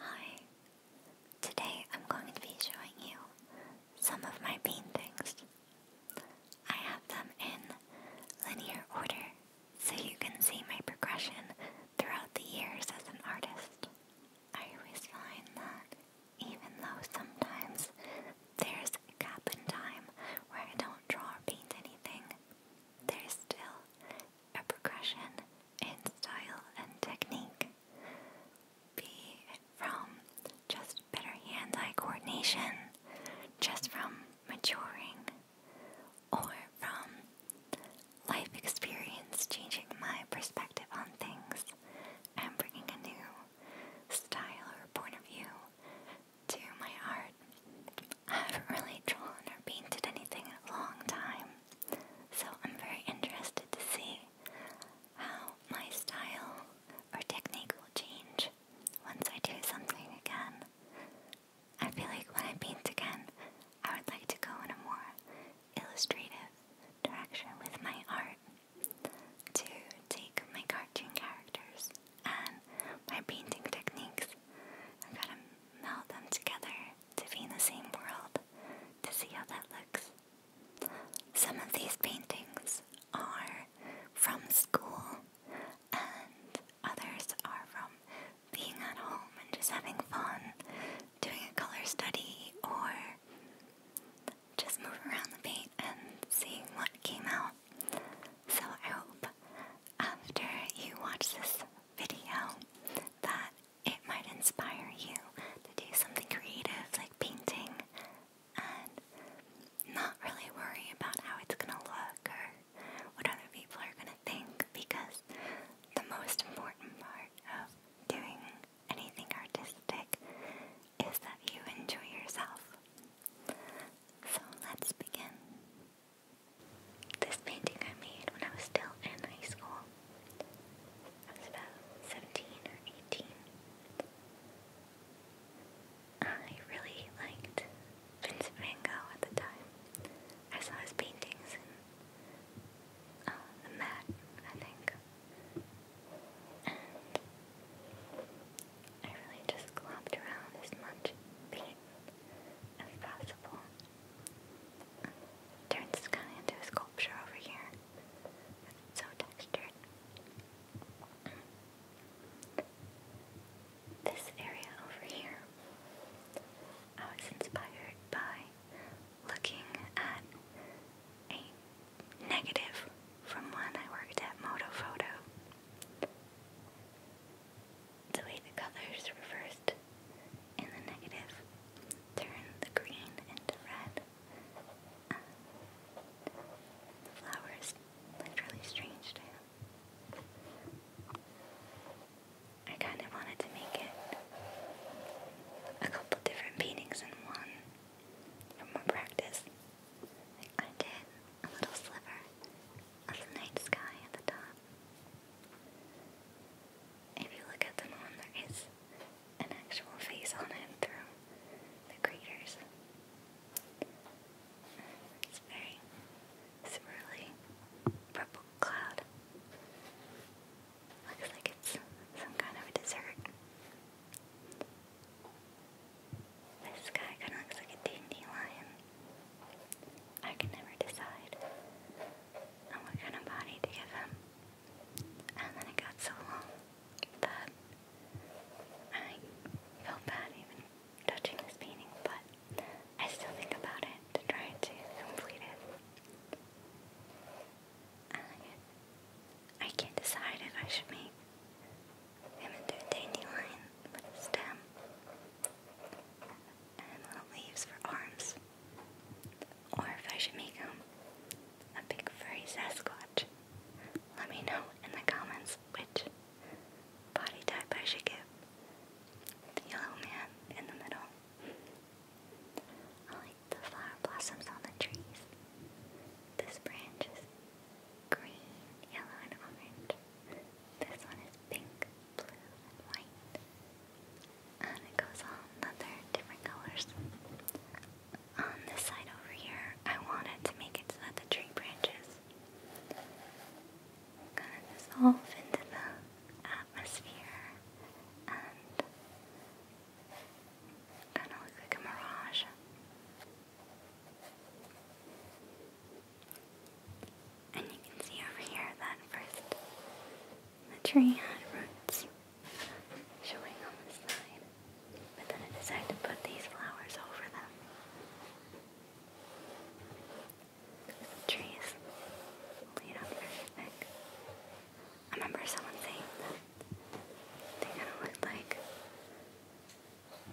Hi, today I'm going to be showing you some of my paintings. I have them in linear order so you can see my progression throughout the years as an artist. I always find that even though sometimes there's a gap in time where I don't draw or paint anything, there's still a progression in style and technique. B, from just better hand eye coordination, just from maturing, or from life experience changing my perspective on things and bringing a new style or point of view to my art. I haven't really drawn or painted anything in a long time, so I'm very interested to see how my style or technique will change once I do something again. I feel like when I paint again, I would like to go in a more illustrative direction with my art to take my cartoon characters and my painting techniques and gotta meld them together to be in the same world to see how that looks. Some of these paintings are from school, and others are from being at home and just having fun, doing a color study, or just moving around the paint and seeing what came out. So I hope after you watch this video that it might inspire you to do something creative like painting and not really worry about how it's going to look or what other people are going to think because the most important part of doing anything artistic is that you enjoy yourself. So let's begin. This painting I made when I was still in high school. I was about 17 or 18. I really liked Vincent van Gogh at the time. I saw his paintings in um, the Met, I think. And I really just glopped around as much paint as possible. Turns this kind into a sculpture over here. It's so textured. This area over here, I was inspired by looking at a negative from when I worked at Moto Photo. The way the colors reversed in the negative, turn the green into red. the flower is literally strange to him. I kind of wanted to make it a couple different paintings in one for more practice. I did a little sliver of the night sky at the top if you look at them there is an actual face on it through the craters. It's very swirly purple cloud. Looks like it's some kind of a dessert. This guy kind of looks like a dandelion. I can never decide and what kind of body to give him. And then it got so long that I felt bad even touching this painting, but I still think about it to try to complete it. I can't decide if I should make him into a dandelion with stem and little leaves for arms. Or if I should make him a big furry Sasquatch. Let me know in the comments which body type I should give the yellow man in the middle. I like the flower blossoms on the trees. This branch is green, yellow, and orange. This one is pink, blue, and white. And it goes on another different colors. On this side over here, I wanted to make it so that the tree branches kind of dissolve into the atmosphere and kind of look like a mirage. And you can see over here that first the tree had roots showing on the side, but then I decided to put these flowers over them. The tree is very thick. I remember someone saying that they kind of looked like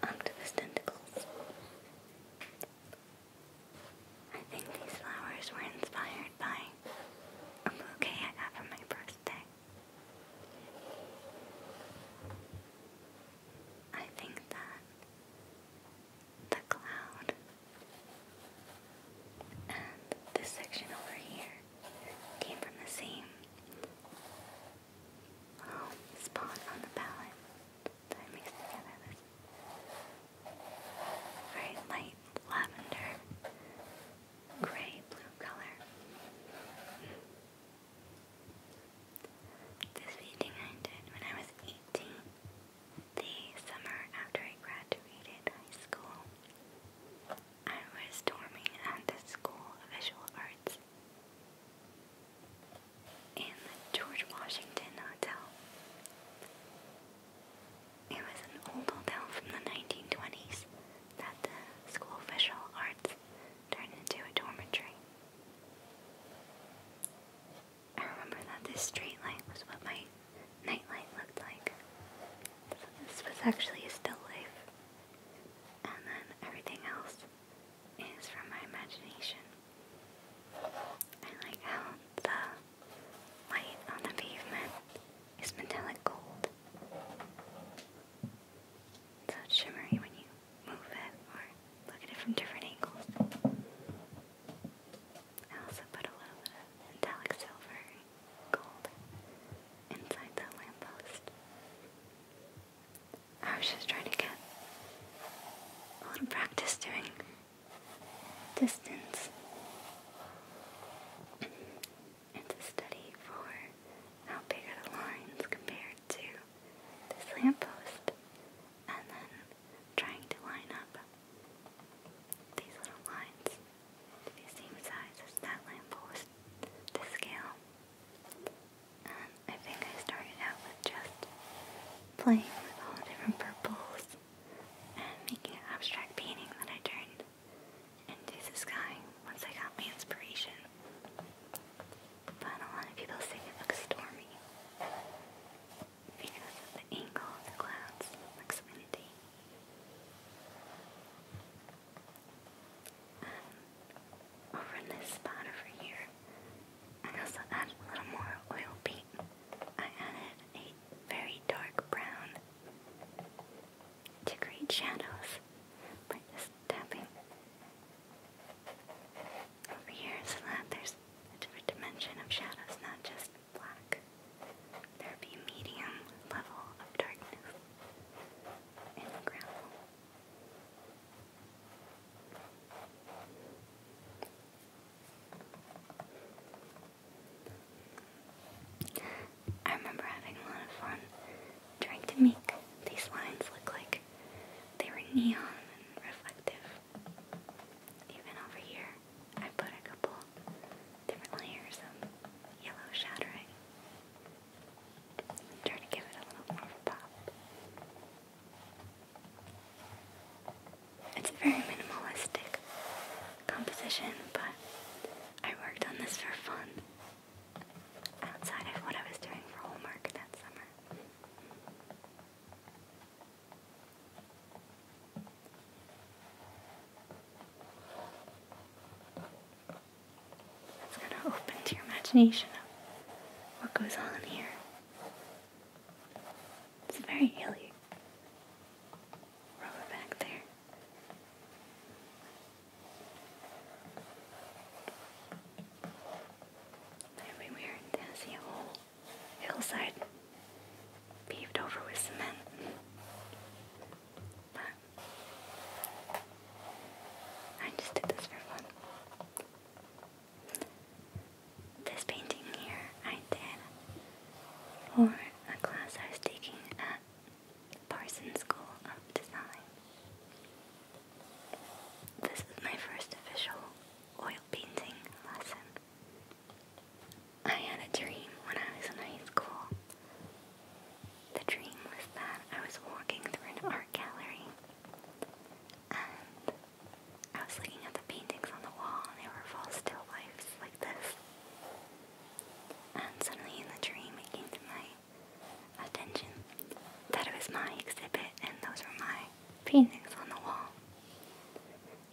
octopus tentacles. I think these flowers were inspired by a bouquet I got for my birthday. I think that the cloud and this section over here came from the same spot on the palette that I mixed together very light lavender, gray blue color. This painting I did when I was 18, the summer after I graduated high school. I was storming at the School of Visual Arts in the George Washington Hotel. It was an old hotel from the 1920s that the school visual arts turned into a dormitory. I remember that this street light was what my nightlight looked like. this was actually a still life. And then everything else is from my imagination. I like how the Light on the pavement is metallic gold. So shimmery when you move it or look at it from different angles. I also put a little metallic silver gold inside the lamppost. I was just trying to get a little practice doing distance. It's a study for how big are the lines compared to this lamppost, and then trying to line up these little lines to be the same size as that lamppost, the scale. I think I started out with just playing with all different purples and making an abstract painting that I turned into the sky once I got my inspiration. But a lot of people say it looks stormy because of the angle of the clouds. looks windy. Um, over in this spot over here, I also added a little more oil paint. I added a very dark brown to create shadows by just tapping. Over here so that there's a different dimension of shadows, not just black. There would be a medium level of darkness in the ground. I remember having a lot of fun trying to make these lines look like they were neon and reflective. Even over here, I put a couple different layers of yellow shattering. Try to give it a little more pop. It's a very minimalistic composition, but I worked on this for fun outside of what I was doing for homework that summer. It's going to open to your imagination of what goes on here. It's very hilly. Roll it back there. Everywhere I see hillside paved over with cement. I just did this for fun. This painting here I did for a class I was taking at Parsons School of Design. This is my first official oil painting lesson. I had a dream when I was in high school. The dream was that I was walking through an art gallery I was looking at the paintings on the wall and they were full still lifes like this. And suddenly in the dream it came to my attention that it was my exhibit and those were my paintings on the wall.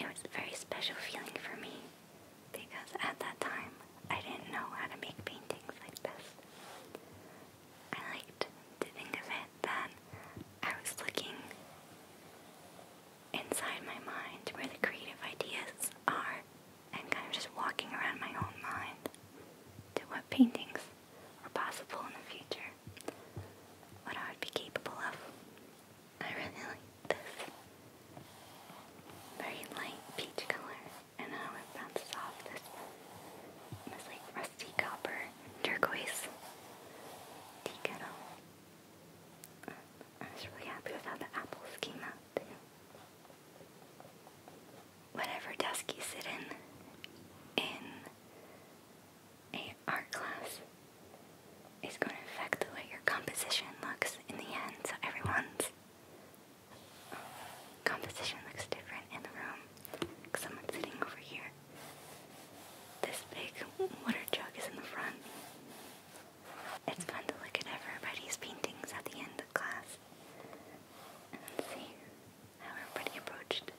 It was a very special feeling for me because at that time I didn't know how to make paintings like this. I liked to think of it that I was looking inside my mind where the creative ideas are and kind of just walking around my own mind to what paintings are possible in the future, what I would be capable of. I really like this very light peach color and how it bounces off this, this like rusty copper turquoise tea I was really happy with how the apples came out Whatever desk you sit in, in a art class, is going to affect the way your composition looks in the end. So everyone's composition looks different in the room. Someone sitting over here this big water jug is in the front. It's fun to look at everybody's paintings at the end of class and see how everybody approached.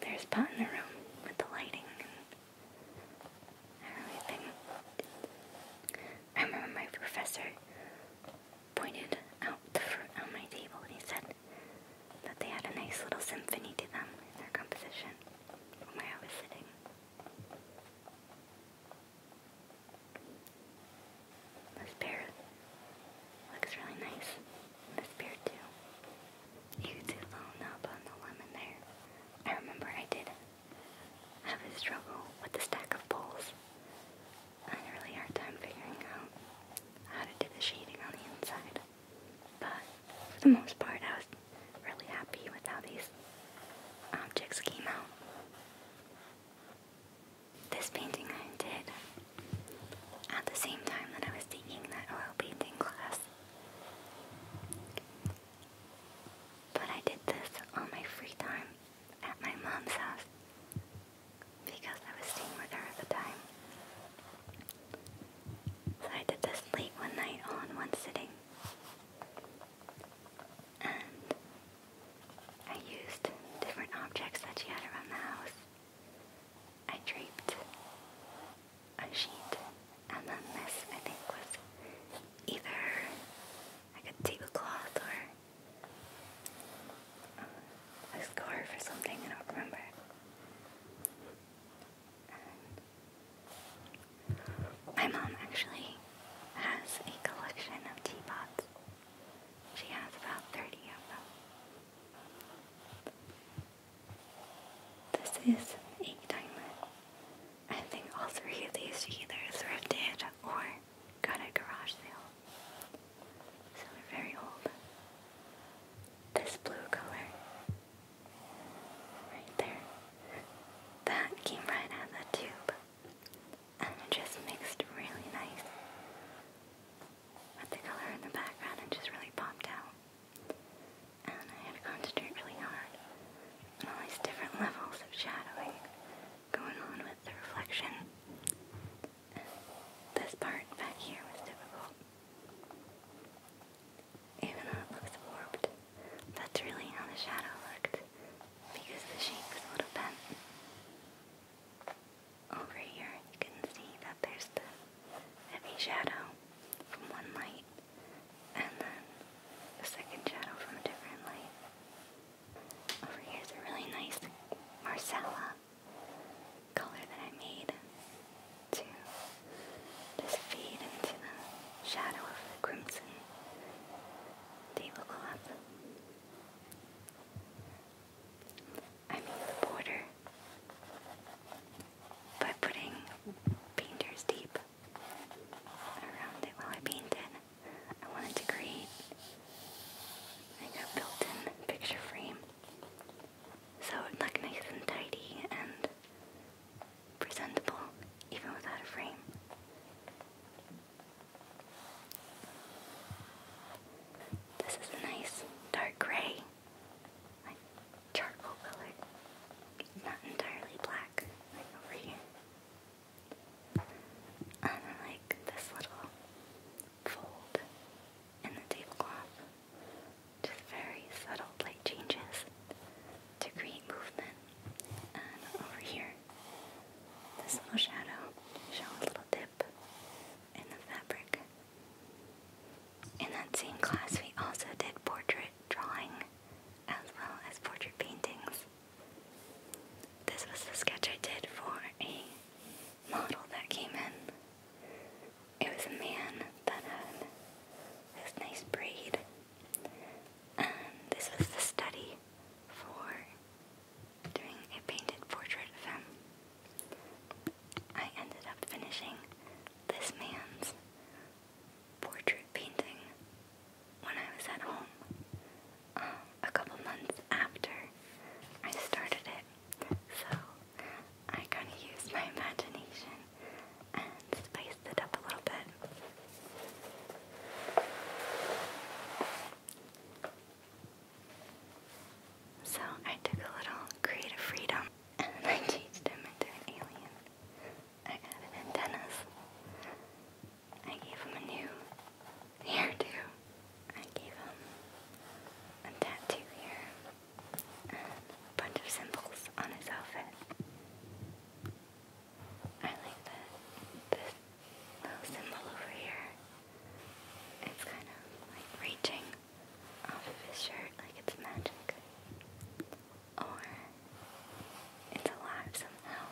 There's pot in the room with the lighting and everything. I remember my professor pointed out the fruit on my table and he said that they had a nice little symphony to them in their composition where I was sitting. This bear looks really nice. This bear too. You could see on the lemon there. I remember I did have a struggle with the stack of poles. I had a really hard time figuring out how to do the shading on the inside. But for the most part, I was really happy with how these objects came out. This painting I did at the same time that I was taking that oil painting class. But I did this on my free time at my mom's house because I was staying with her at the time. So I did this late one night all in one sitting. And I used different objects that she had around the house. I draped a sheet, and then this I think was either like a tablecloth or uh, a scarf or something, I don't remember my mom actually has a collection of teapots. She has about 30 of them. This is a diamond. I think all three of these she either thrifted or got at garage sale. So they're very old. This blue color Right there. That came right out of the tube. And it just mixed really nice with the color in the background and just really popped out. And I had to concentrate really hard on all these different levels of shadowing going on with the reflection. this part back here was difficult. Even though it looks warped, that's really how the shadow looked because the shape a little bent. Over here, you can see that there's the heavy shadow from one light and then the second shadow from a different light. Over here is a really nice Marcella color that I made to just fade into the shadow of the crimson tablecloth. I mean the border by putting painter's tape around it while I painted. I wanted to create like a built-in picture frame so it looked nice and tidy and presentable even without a frame. This is a nice dark gray, like charcoal color. not entirely black, like over here. And I like this little fold in the tablecloth just very subtle light changes to create movement. And over here, this little shadow shows a little dip in the fabric. In that same class, we also did portrait drawing as well as portrait paintings. This was the sketch I did for a model that came in it was a man that had this nice braid. And this was the study for doing a painted portrait of him. I ended up finishing this man's portrait painting when I was at home um, a couple months after I started it. So I kind of used my imagination and spice it up a little bit. So I took a little creative freedom and I changed him into an alien. I added antennas. I gave him a new hairdo. I gave him a tattoo here and a bunch of symbols on his outfit. I like this little symbol over here. It's kind of like reaching off of his shirt like it's magic. Or it's alive somehow.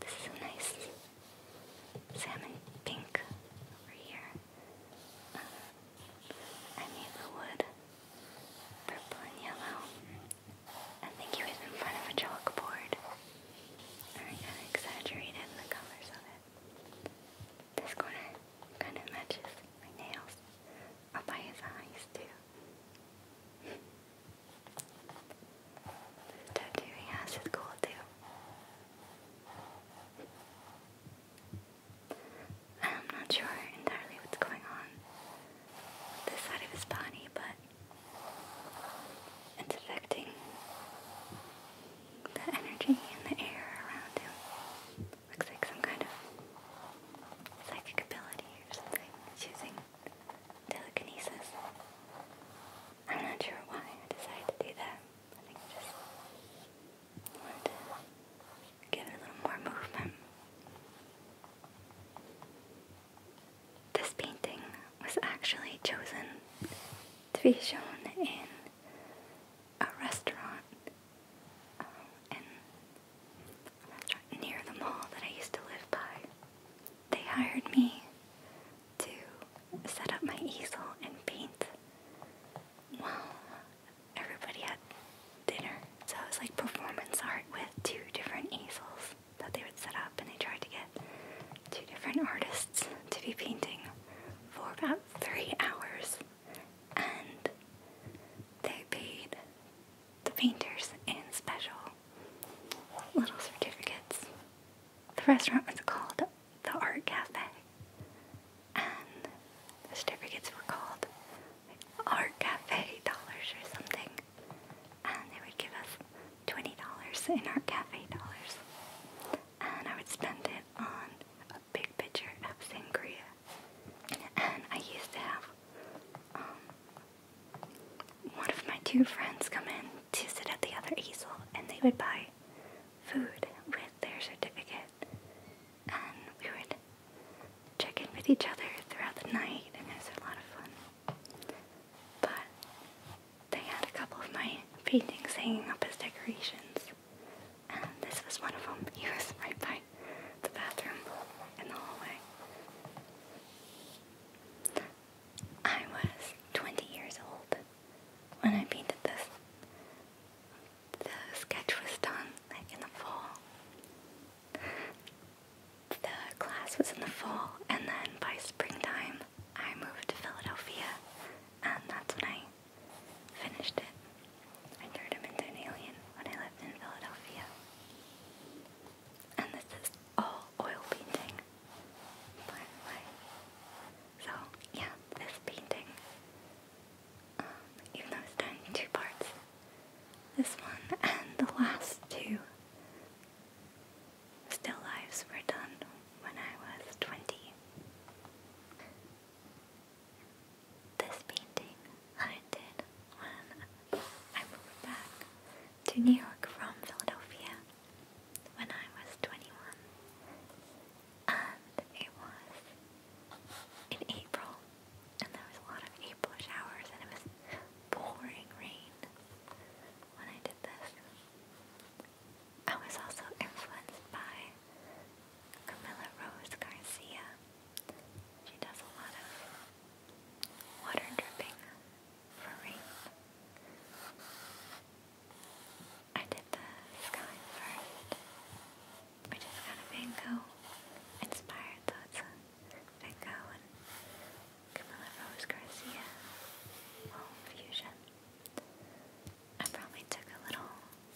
This is a nice salmon pink over here. Uh, I made the wood purple and yellow. I think he was in front of a chalkboard. I exaggerated the colors of it. This corner kind of matches my nails. Up by his eyes, too. the tattoo he has is cool, too. I'm not sure entirely what's going on this side of his body, but it's affecting the energy in the air around him. Looks like some kind of psychic ability or something. It's using telekinesis. I'm not sure why I decided to do that. Give it a little more movement. This painting was actually chosen to be shown um, in a restaurant, near the mall that I used to live by. They hired me to set up my easel and paint while everybody had dinner. So it was like performance art with two different easels that they would set up, and they tried to get two different artists to be painting for about three hours. And they paid the painters in special little certificates. The restaurant was called the art cafe. And the certificates were called Art Cafe Dollars or something. And they would give us $20 in Art Cafe dollars. And I would spend it on a big picture of Sangria. And I used to have um, one of my two friends come in to sit at the other easel and they would buy food with their certificate. And we would check in with each other throughout the night, and it was a lot of fun. But they had a couple of my paintings hanging up as decorations, and this was one of them. He was right by the bathroom in the hallway. I was 20 years old when I painted this the sketch was done in the fall. The class was in the fall, and then by springtime, I moved to Philadelphia, and that's when I finished it. I turned him into an alien when I lived in Philadelphia. And this is all oil painting, by the way. So, yeah, this painting um, even though it's done in two parts. This one and the last two still lives were done when I was 20. This painting I did when I moved back to New York from Philadelphia when I was 21 it was in April, and there was a lot of April showers, and it was pouring rain when I did this. I was also influenced by Camilla Rose Garcia. She does a lot of water dripping for rain. I did the sky first, which is kind of Van inspired, so it's Van Gogh and Camilla Rose Garcia home fusion. I probably took a little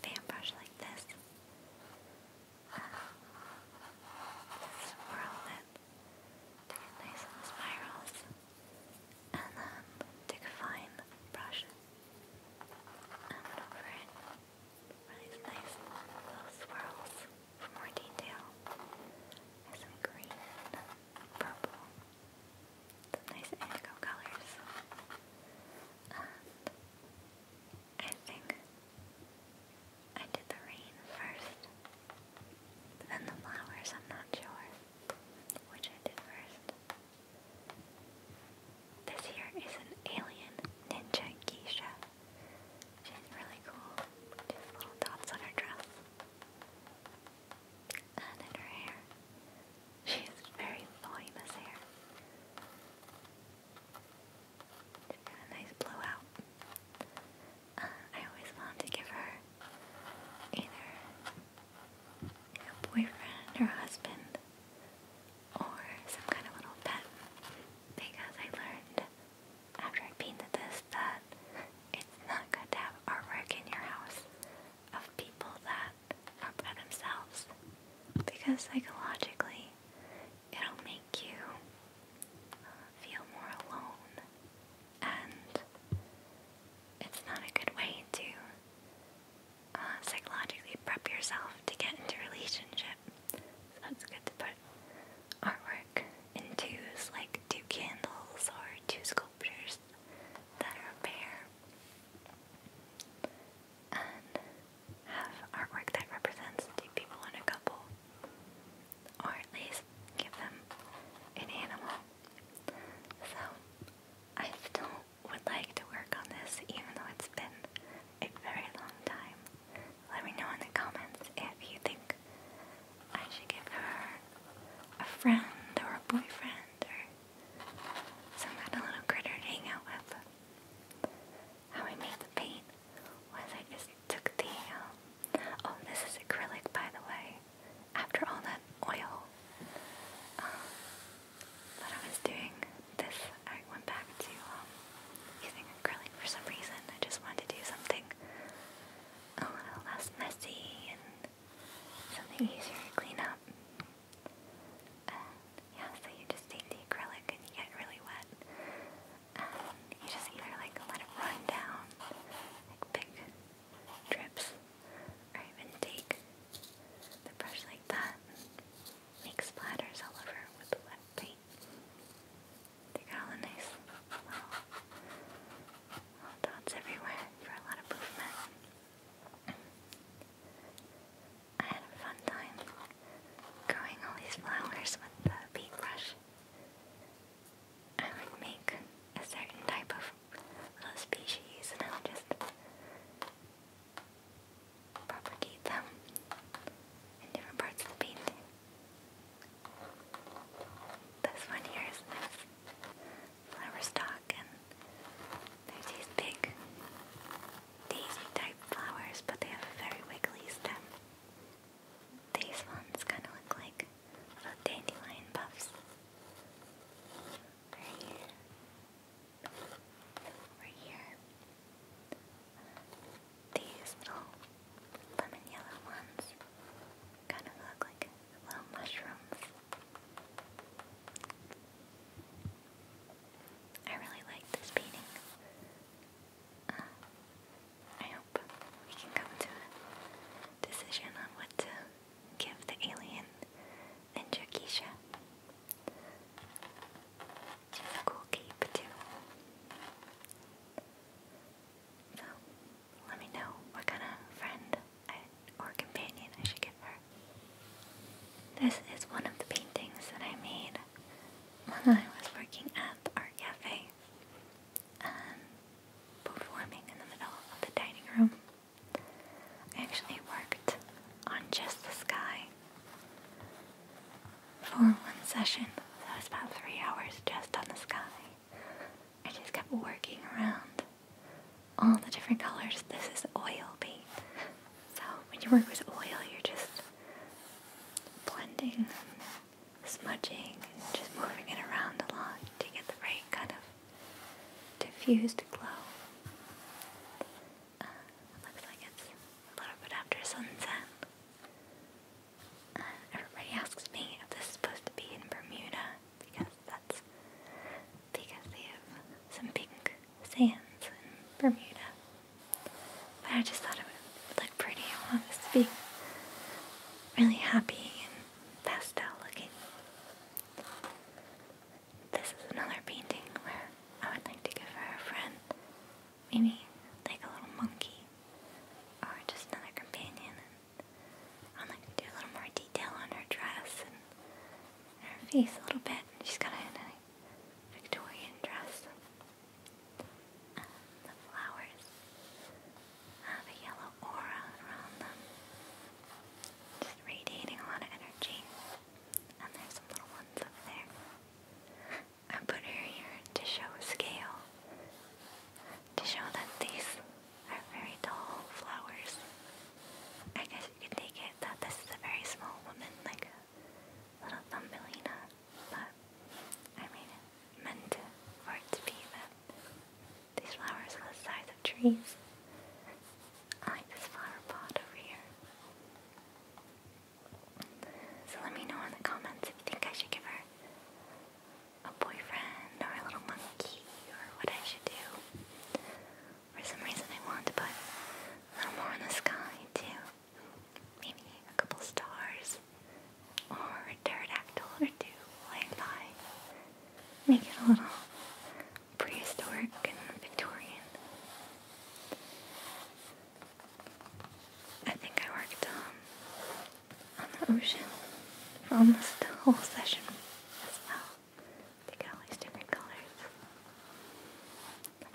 fan brush like this, swirl it, took nice little spirals, and then um, took a fine brush. I'm going over nice little swirls for more detail. some green, purple, some nice indigo colors. I think I did the rain first, then the flowers, I'm not sure which I did first. This here is an alien ninja geisha. She's really cool. She has little dots on her dress. And in her hair. She has very volumous hair. She's got a nice blowout. Uh, I always wanted to give her either a boyfriend or husband or some kind of little pet because I learned after I painted this that it's not good to have artwork in your house of people that are by themselves because psychologically it'll make you feel more alone and it's not a good way to uh, psychologically prep yourself to get into a relationship. So that's good to put artwork in twos, like two candles or two sculptures that are a pair. And have artwork that represents two people in a couple. Or at least give them an animal. So I still would like to work on this, even though it's been a very long time. Let me know in the comments if you think I should give her a friend or a boyfriend or some kind of little critter to hang out with. How I made the paint was I just took the, um, oh, this is acrylic by the way, after all that oil. Um, but I was doing this, I went back to um, using acrylic for some reason. I just wanted to do something a little less messy and something easier to clean up. yeah, so you just take the acrylic and you get really wet. you just either like let it run down, like big drips, or even take the brush like that and splatters all over with the wet paint. They got all the nice little, dots everywhere for a lot of movement. I had a fun time growing all these flowers with the paintbrush. I would make a certain type of little species and I would just propagate them in different parts of the painting. This one here is this flower stalk, and there's these big daisy type flowers, but they have a very wiggly stem. These ones kind of look like little dandelion puffs right here. These little lemon yellow ones kind of look like little mushrooms. I really like this painting. Uh, I hope we can come to a decision on what to give the alien and Jakisha. Which a cool cape So, let me know what kind of friend or companion I should give her. This is one of the paintings that I made when I was working at the art cafe. Um, performing in the middle of the dining room. I actually worked on just the sky for one session. That was about three hours just on the sky. I just kept working around all the different colors. This is oil paint. So when you work with oil, you're just blending, smudging, just moving it around a lot to get the right kind of diffused glow. Uh, looks like it's a little bit after sunset. Uh, everybody asks me if this is supposed to be in Bermuda because that's because they have some pink sands in Bermuda. But I just thought it would look pretty. I want to be really happy and pastel looking this is another painting where I would like to give her a friend. Maybe like a little monkey or just another companion. And I'd like to do a little more detail on her dress and, her face a little bit. She's got a Victorian dress. Um, the flowers have a yellow aura around them. Just radiating a lot of energy. And there's some little ones up there. I put her here to show scale. To show that these are very tall flowers. I guess you could take it that this is a very small woman, like a little thumbelina. But, I mean, meant for it to be that these flowers are the size lot trees. I like this flower pot over here. So let me know in the comments if you think I should give her a boyfriend or a little monkey or what I should do. For some reason I want to put a little more in the sky too. Maybe a couple stars or a pterodactyl or two flying by. Make it a little prehistoric and Victorian. I think I worked um, on the ocean for almost the whole session as well. They got all these different colors.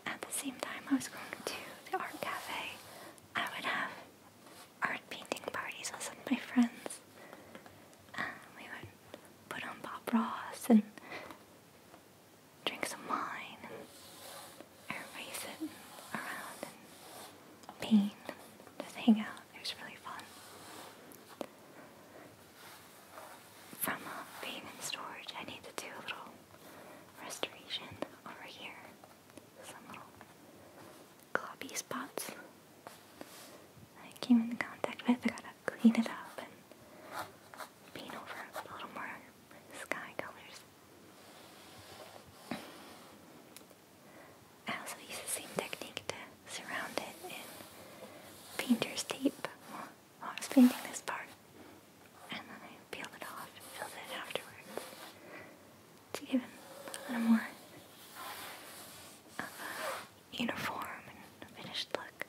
At the same time I was going to the art cafe, I would have art painting parties with my friends. Um, we would put on Bob Ross and drink some wine and everybody sitting around and paint just hang out. It was really fun. From uh, being in storage, I need to do a little restoration over here. Some little copy spots I came in contact with. I gotta clean it up and paint over a little more sky colors. I also use the same technique to surround it in painter's tape while I was painting this part. And then peeled it off and filled it afterwards to give it a little more uniform and finished look.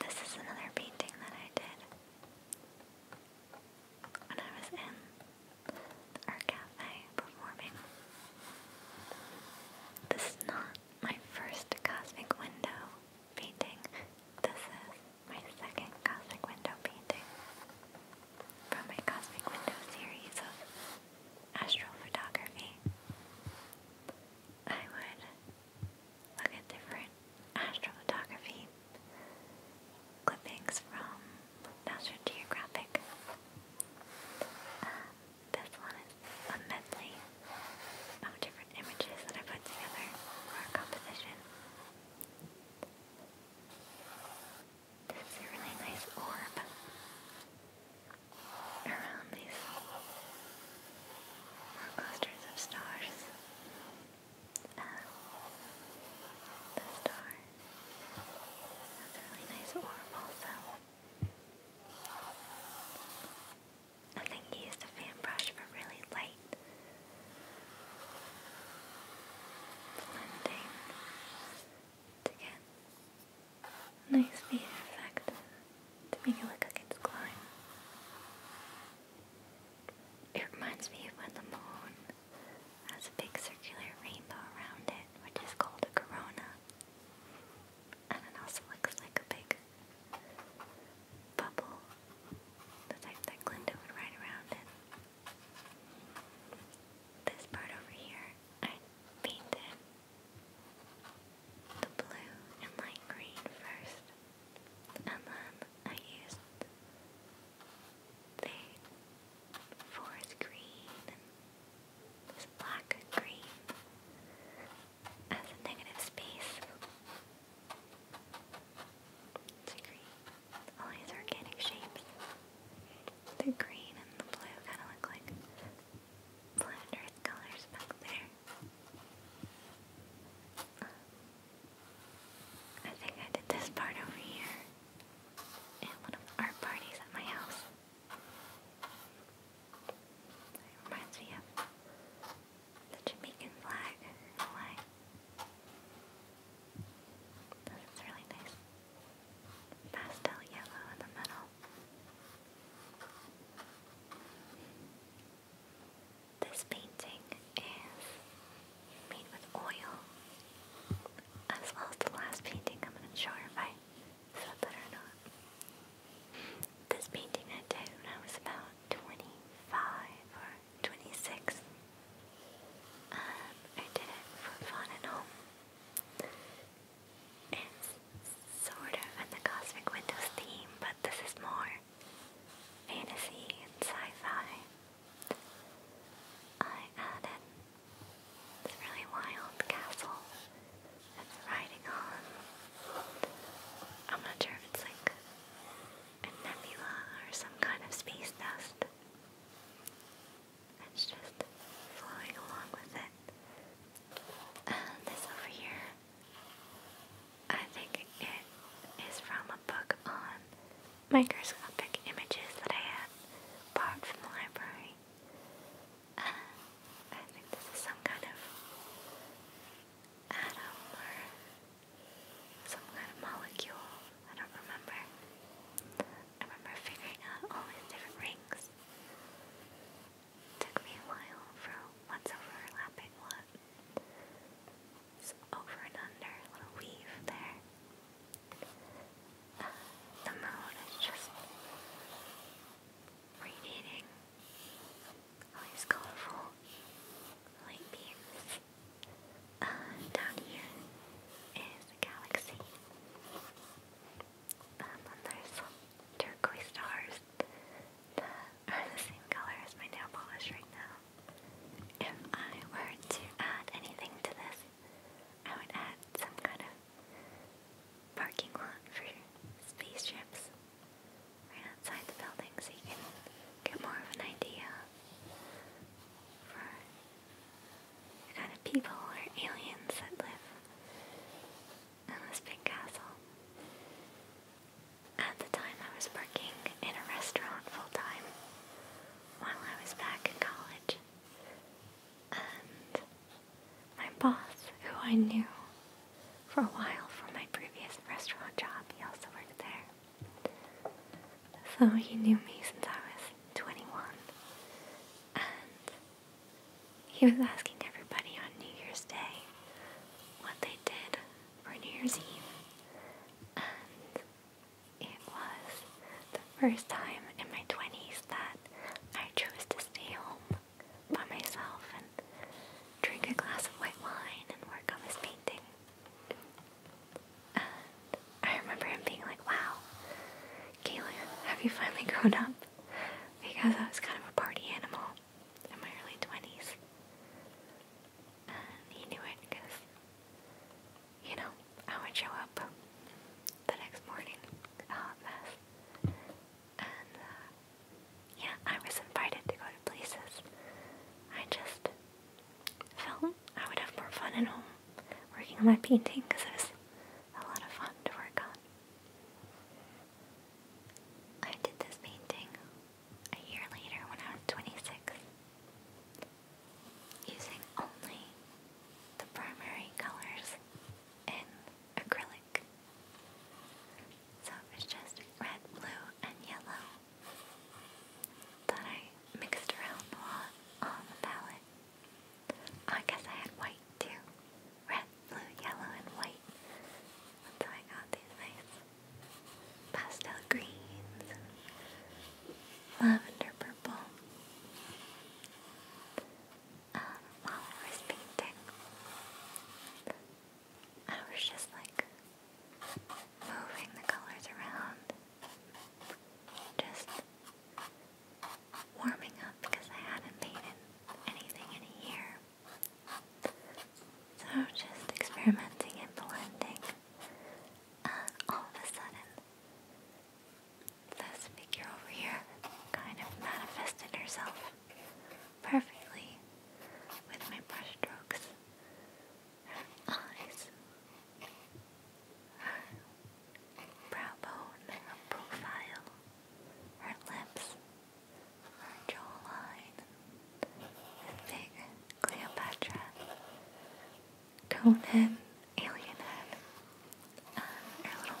This is another painting that I did when I was in the cafe performing. This is not my first Cosmic Window painting. This is my second Cosmic Window painting from my Cosmic Window series of astrophotography, I would look at different astrophotography clippings from National um, this one is a medley of different images that I put together for a composition. There's a really nice orb around these clusters of stars. Uh, the star has really nice orb also. I think he used a fan brush for really light blending to nice feeder effect to make it look like it's glowing. It reminds me of when the moon has a big circular rainbow around it, which is called a corona. And it also looks like a big bubble, the type that Glinda would ride around in. This part over here, I painted the blue and light green first, and then I used the forest green and this black green as a negative space. It's a green, all these organic shapes. The green and the blue kind of look like flat earth colors back there. I think I did this part over here in one of our parties at my house. reminds me of the Jamaican flag in Hawaii. really nice. Pastel yellow in the middle. This painting is made with oil, as well as the last painting. I'm not sure if I said that or not. This painting I did when I was about 25 or 26. Um, I did it for fun at home. It's sort of in the Cosmic Windows theme, but this is more fantasy and sci-fi. I added this really wild castle that's riding on. I'm not sure if it's like a nebula or some kind of space dust. It's just flowing along with it. Uh, this over here, I think it is from a book on microscopic images that I had bought from the library. Uh, I think this is some kind of atom or some kind of molecule. I don't remember. I remember figuring out all these different rings. Took me a while for what's overlapping what. So over and under, a little weave there. Uh, the moon is just radiating all these colorful light beams. Uh, down here is a galaxy. And turquoise stars are the same color as my nail polish right now. If I were to add anything to this, I would add some kind of parking lot for spaceships right outside the building so you can get more of an idea for what kind of people are aliens that live in this big castle? At the time I was working in a restaurant full time while I was back in college. And my boss, who I knew for a while from my previous restaurant job, he also worked there. So he knew me since I was 21. And he was asking everybody on New Year's Day what they did for New Year's Eve, and it was the first time in my 20s that I chose to stay home by myself and drink a glass of white wine and work on this painting. I remember him being like, wow, Kaylin, have you finally grown up? Because I was kind of a party animal in my early 20s. he knew it because, you know, I would show up the next morning, a hot mess. And, uh, yeah, I was invited to go to places. I just felt I would have more fun at home working on my painting because I was a lot of fun to work on. I did this painting a year later when I was 26, using only the primary colors in acrylic. So it was just red, blue, and yellow that I mixed around a lot on the palette. I guess I had white too. Red, blue, yellow, and white. That's how I got these nice pastel greens lavender purple. Um, while I was painting, I was just like moving the colors around. Just warming up because I hadn't painted anything in a year. So just experimenting and blending. all of a sudden, this figure over here kind of manifested herself perfectly with my brush strokes. eyes brow bone, profile, her lips, her jawline, the Cleopatra, Conan, alien head, her little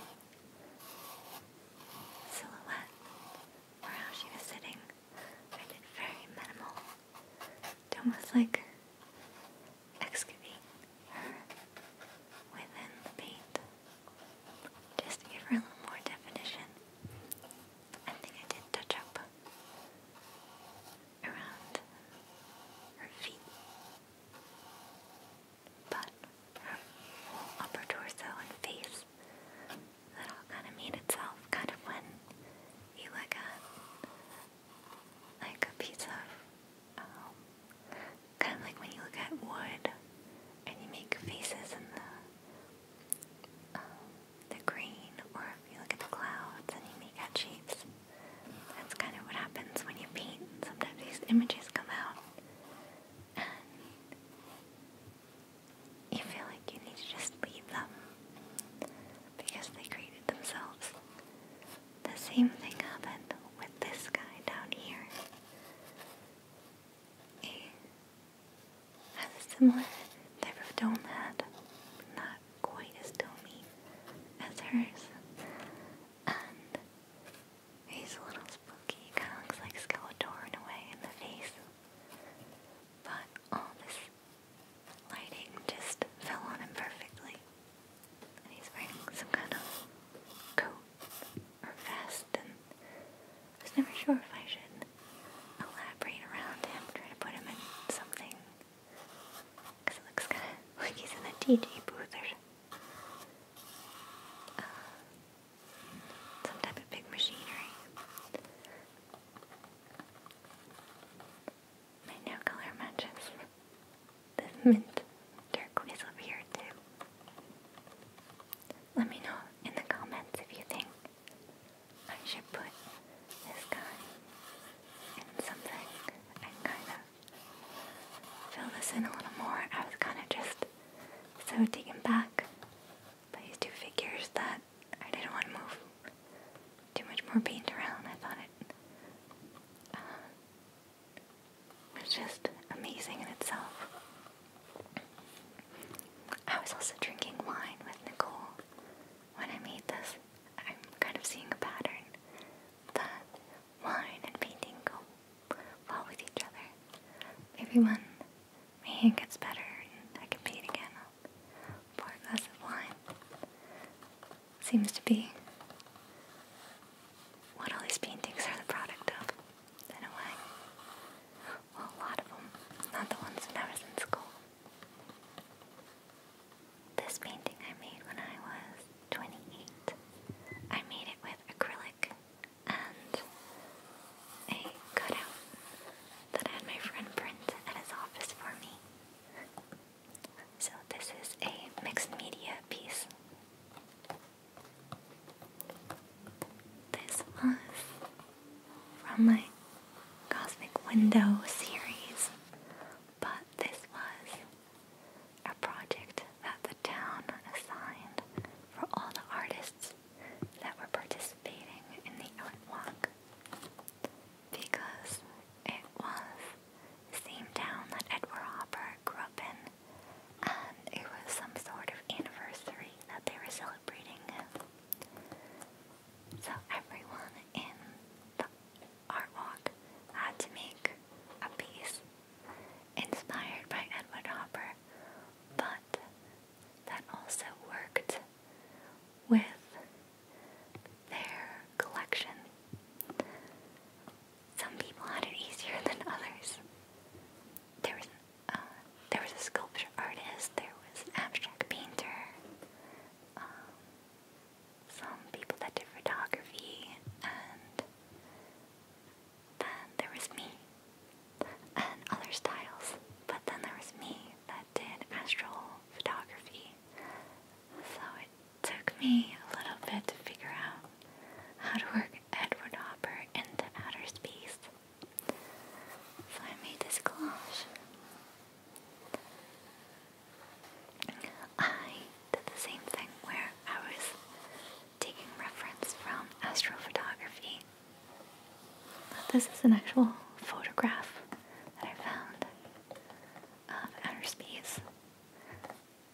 silhouette or she was sitting. very minimal. It's almost like excavate within the paint. Just to give her a little more definition, I think I did touch up around her feet, but her whole upper torso and face, that all kind of made itself kind of when you look at like a piece of um, kind of like when you look at wood and you make faces in the um, the green, or if you look at the clouds and you make shapes. That's kind of what happens when you paint. Sometimes these images come out, and you feel like you need to just leave them because they created themselves the same thing happened with this guy down here. He has a similar type of dome head, not quite as domey as hers. And he's a little spooky, kinda looks like Skeletor in a way in the face. But all this lighting just fell on him perfectly he's wearing some kind of coat or vest, and I was never sure if I should elaborate around him, trying to put him in something. Because it looks kind of like he's in a DJ booth or some type of big machinery. My nail color matches this mint turquoise over here too. Let me know in the comments if you think I should put this guy in something and kind of fill this in a little more. I was kind of just so taken back by these two figures that I didn't want to move too much more paint around. I thought it uh, it's just amazing in itself. I was also drinking wine with Nicole when I made this. I'm kind of seeing a pattern that wine and painting go well with each other. Maybe my hand gets better and I can paint again, pour a glass of wine seems to be what all these paintings are the product of, in a way. a lot of them, not the ones when I was in school. This painting I made when I was 28. I made it with acrylic and a cutout that I had my friend print at his office for me. So this is a mixed media piece. This was from my Cosmic Window series, but this was a project that the town assigned for all the artists that were participating in the Outwalk because it was the same town that Edward Hopper grew up in, and um, it was some sort of anniversary that they were celebrating. So everyone in the art walk had to make a piece inspired by Edward Hopper, but that also worked with their collection some people had it easier than others. There was, uh, there was a sculpture artist, there was an abstract painter, um, some people that did photography, and then there was me, and other styles, but then there was me that did astral photography, so it took me a little bit to figure out how to work Edward Hopper into outer space. So I made this collage. I did the same thing where I was taking reference from astrophotography. this is an actual photograph that I found of outer space.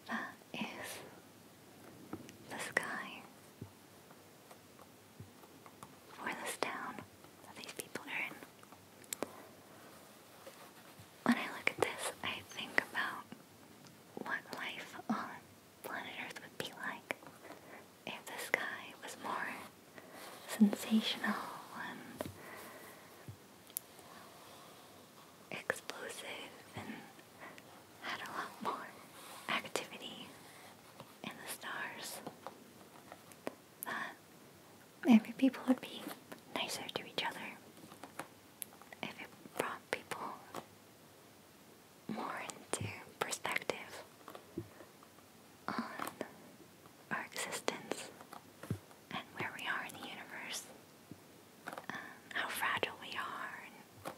That is the sky for this town these people are in. When I look at this, I think about what life on planet Earth would be like if the sky was more sensational and explosive and had a lot more activity in the stars, that maybe people would be nicer to each other if it brought people more into perspective on our existence and where we are in the universe how fragile we are and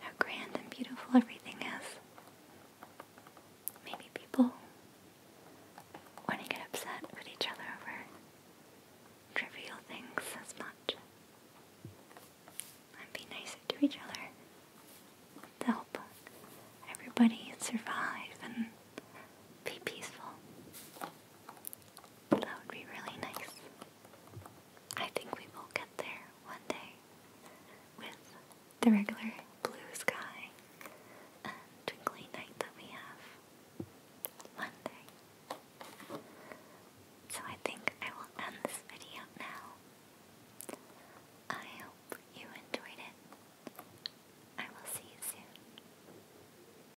how grand and beautiful everything is. Maybe people want to get upset with each other over trivial things as much. And be nicer to each other to help everybody survive and be peaceful. That would be really nice. I think we will get there one day with the regular blue sky and twinkly night that we have. One day. So I think I will end this video now. I hope you enjoyed it. I will see you soon.